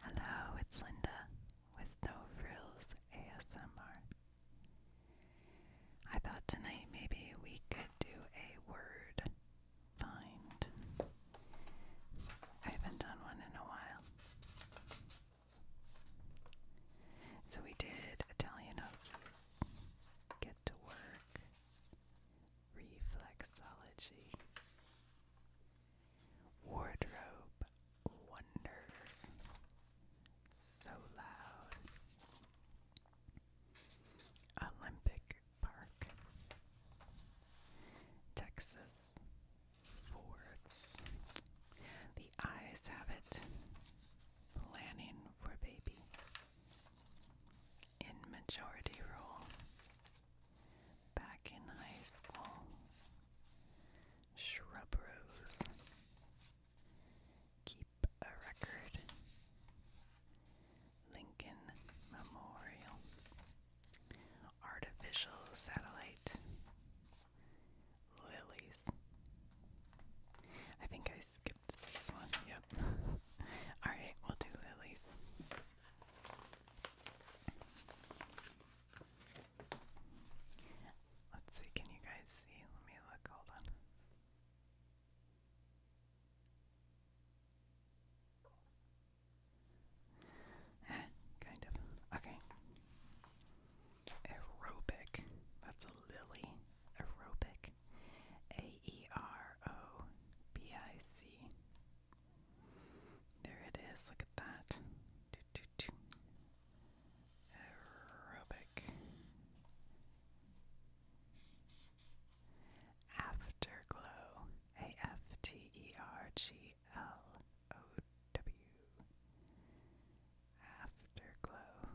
Hello, it's Linda with No Frills ASMR. I thought tonight maybe we could do a word find. I haven't done one in a while. So we did Italian get to work, reflexology. Wardrobe Wonders. So loud. Olympic Park. Texas Forts. The eyes have it. Planning for baby. In majority rule back in high school. Shrub Rose. Keep a record. Lincoln Memorial. Artificial satellite. Lilies. I think I skipped this one. Yep. Alright, we'll do lilies. Let's see, can you guys see? Let me look, hold on. Eh, kind of. Okay. Aerobic. That's a lily. Aerobic. A E R O B I C. There it is. Look at that. Aerobic. Afterglow. A F T E R G L O W. Afterglow.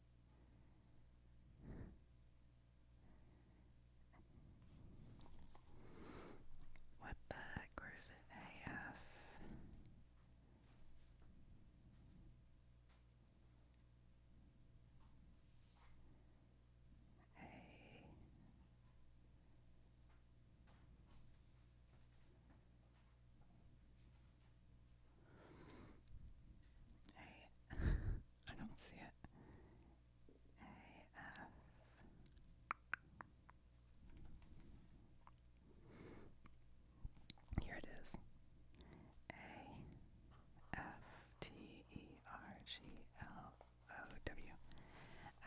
what the heck? was it? AF. A. A I don't see it. A F Here it is. A F T E R G L O W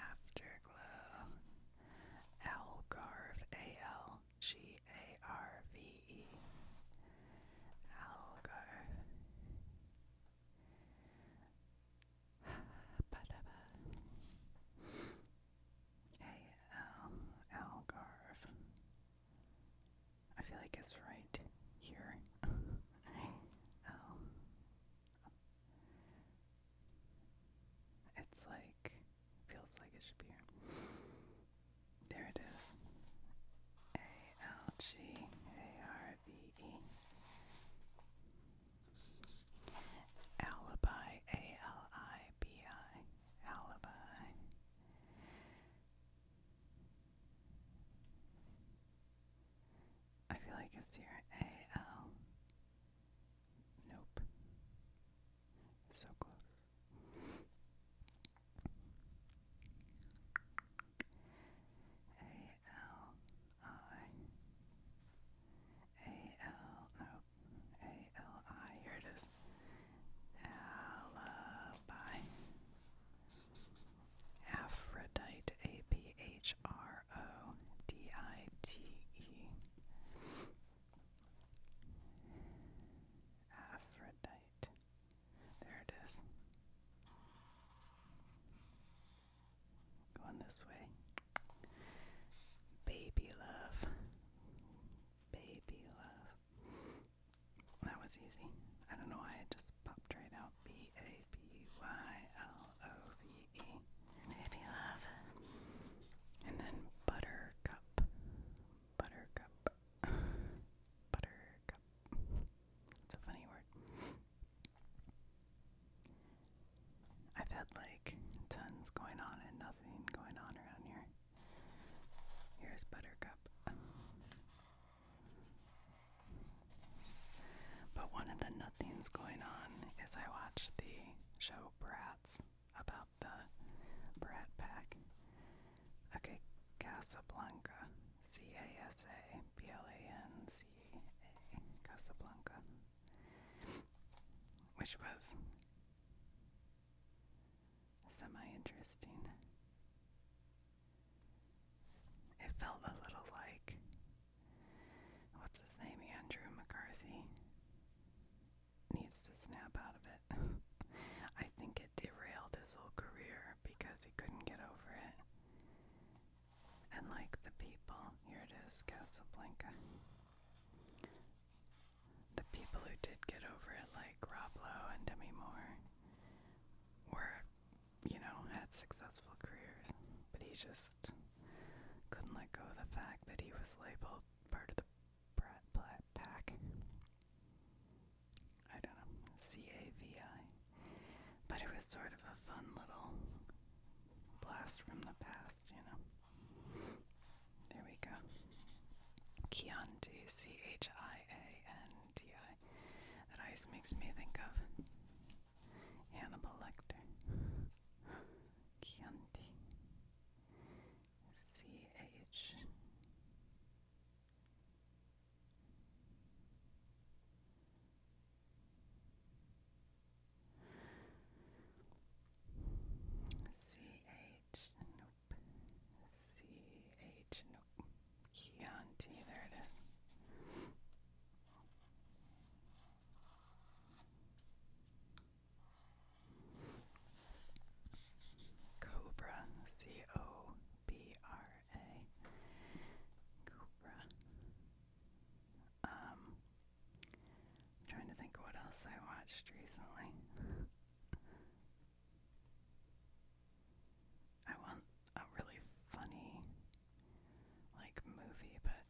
Afterglow Algarve A L G A R V E. Algar. A-L, I feel like it's right here. A-L. Um, it's like Feels like it should be here. There it is. A L G A R V E. Alibi. A L I B I. Alibi. I feel like it's here. A L. Nope. So close. A L I A L no A L I here it is Alibi Aphrodite A P H R O D I T E Aphrodite. There it is. Going this way. Baby love. Baby love. That was easy. I don't know why it just popped right out. B A B Y L O V E if you love. And then buttercup. Buttercup. Buttercup. It's a funny word. I've had like tons going on and nothing going on around here. Here's Buttercup. But one of the nothings going on is I watched the show Bratz about the Brat Pack. Okay, Casablanca. C A S A B L A N C A. Casablanca. Which was semi interesting. It felt a little like. What's his name? Andrew McCarthy needs to snap out of it. I think it derailed his whole career because he couldn't get over it. And like the people, here it is, Casablanca. The people who did get over it, like Rob Lowe and Demi Moore, were, you know, had successful careers. But he just couldn't let go of the fact that he was labeled part of the Brat Pack. I don't know, C A V I. But it was sort of a fun little blast from the past, you know. There we go. Chianti, C H I A N T I. That always makes me think of Hannibal Lecter. Chianti C H C H nope C H nope Chianti there it is Cobra, C O B R A. Cobra. Um, trying to think what else I watched recently. I want a really funny like movie, but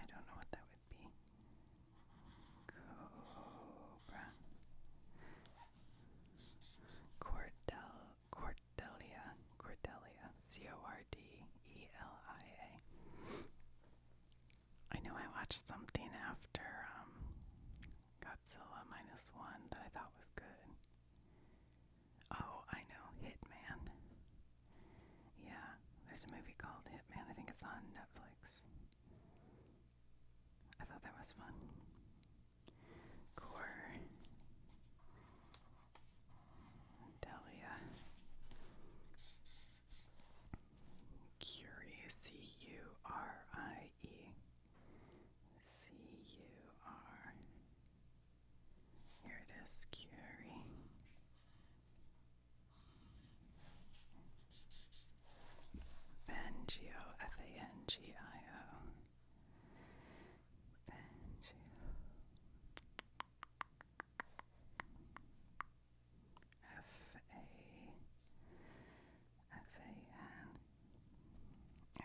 I don't know what that would be. Cobra. Cordel Cordelia. Cordelia. C O R D E L I A. I know I watched something after um, Godzilla minus one that I thought was good. Oh, I know, Hitman. Yeah, there's a movie called Hitman. I think it's on Netflix. I thought that was fun. Core. Delia. Curie. C U R I E. C U R here it is, Curie. Fangio, F A N G I O.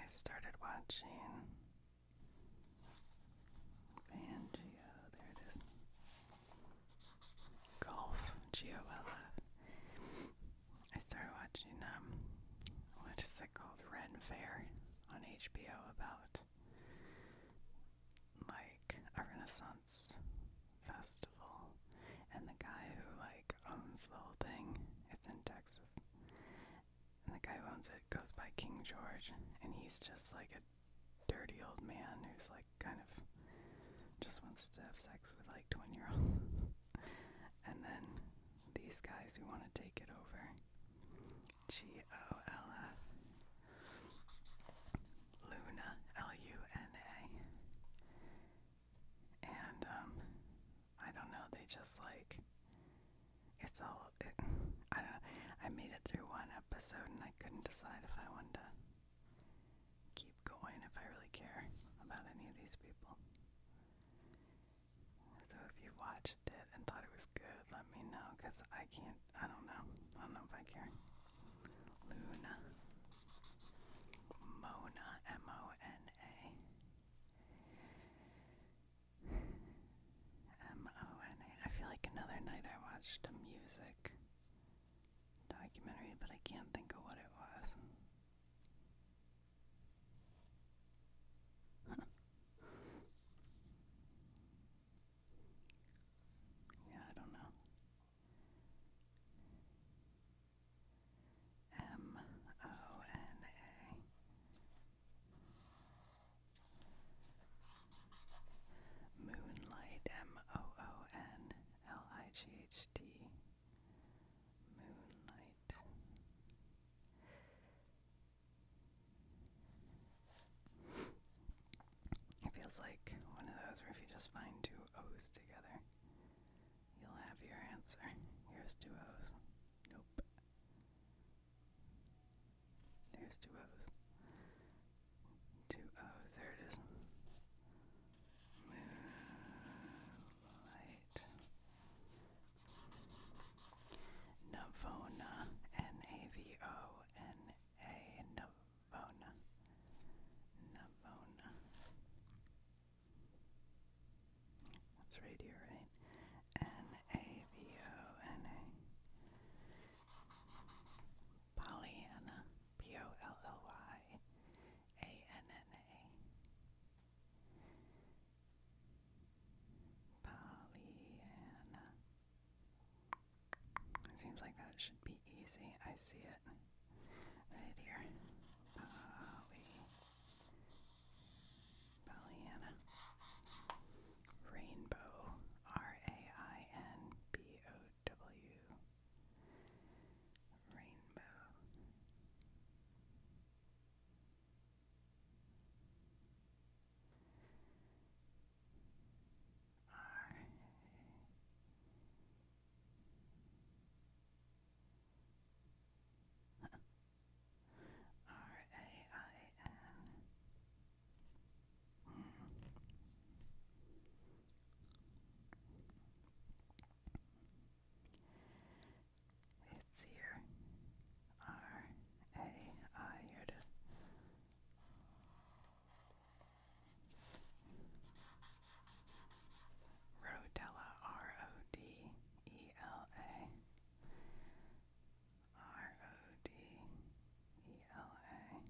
started watching Pangea, there it is. Golf, G O L F. I started watching, um, what is it called? Ren Fair on HBO about like a Renaissance festival. And the guy who like owns the whole thing, it's in Texas and the guy who owns it goes by King George, and he's just like a dirty old man who's like kind of just wants to have sex with like 20 year olds. and then these guys who want to take it over G O L F Luna L U N A. And, um, I don't know, they just like it's all. I don't. I made it through one episode and I couldn't decide if I wanted to keep going if I really care about any of these people. So if you watched it and thought it was good, let me know because I can't. I don't know. I don't know if I care. Luna. Mona. M O N A. M O N A. I feel like another night I watched a music documentary, but I can't think of what it was. yeah, I don't know. M um, O oh, N A. Moonlight, M O O N L I G H T. Moonlight. It feels like one of those where if you just find two O's together, you'll have your answer. Here's two O's. Nope. There's two O's. Two there it is. Moonlight. Navona, N-A-V-O-N-A, Navona. Navona. That's radio, right? N-A-V-O-N-A. Pollyanna. P-O-L-L-Y. A-N-N-A. Pollyanna. It seems like that should be easy. I see it right here. Pollyanna. Pollyanna. Rainbow. R A I N B O W. Rainbow. R -A R A I N. Mm. It's here. R A I. Rodella, R O D E L A R O D E L A R um,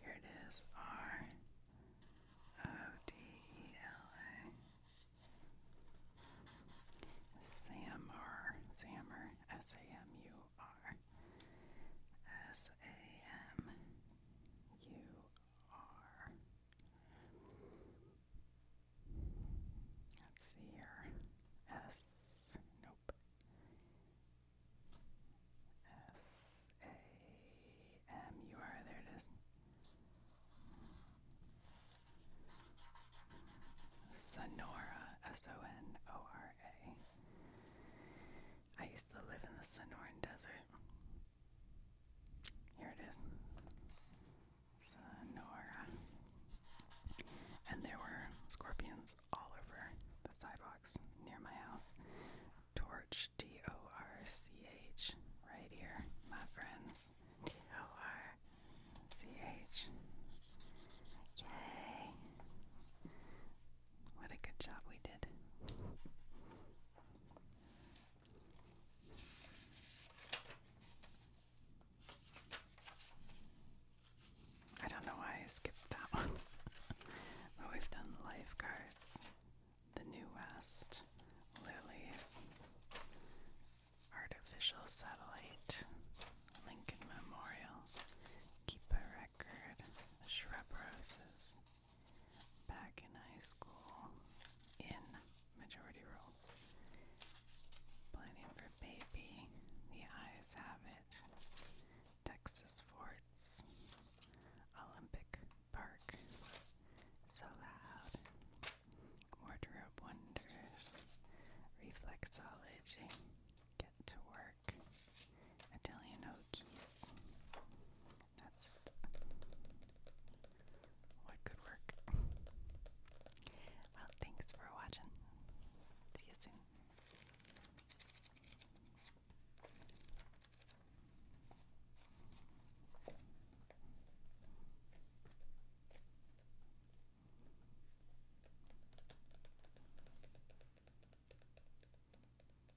here it is R O D E L A. Samur, Samur, S A M U R, S A M U are. Let's see here. S. Nope. S A M U R. There it is. Sonora. S O N O R A. I used to live in the Sonoran Desert. Here it is. It's And there were scorpions all over the sidewalks near my house. Torch, T O R C H, right here, my friends. T O R C H. Yay! What a good job we did. I don't know why I skipped that one. but we've done lifeguards, the New West, Lilies, Artificial Satellite, Lincoln Memorial, Keep a Record, Shrub Roses, back in high school in Majority Rule. Planning for Baby, The Eyes Have It, Texas Forts, Olympic Park, So Loud, Wardrobe Wonders, Reflexology, Get to Work work. Italian hoagies. That's it. What good work. Well, thanks for watching. See you soon.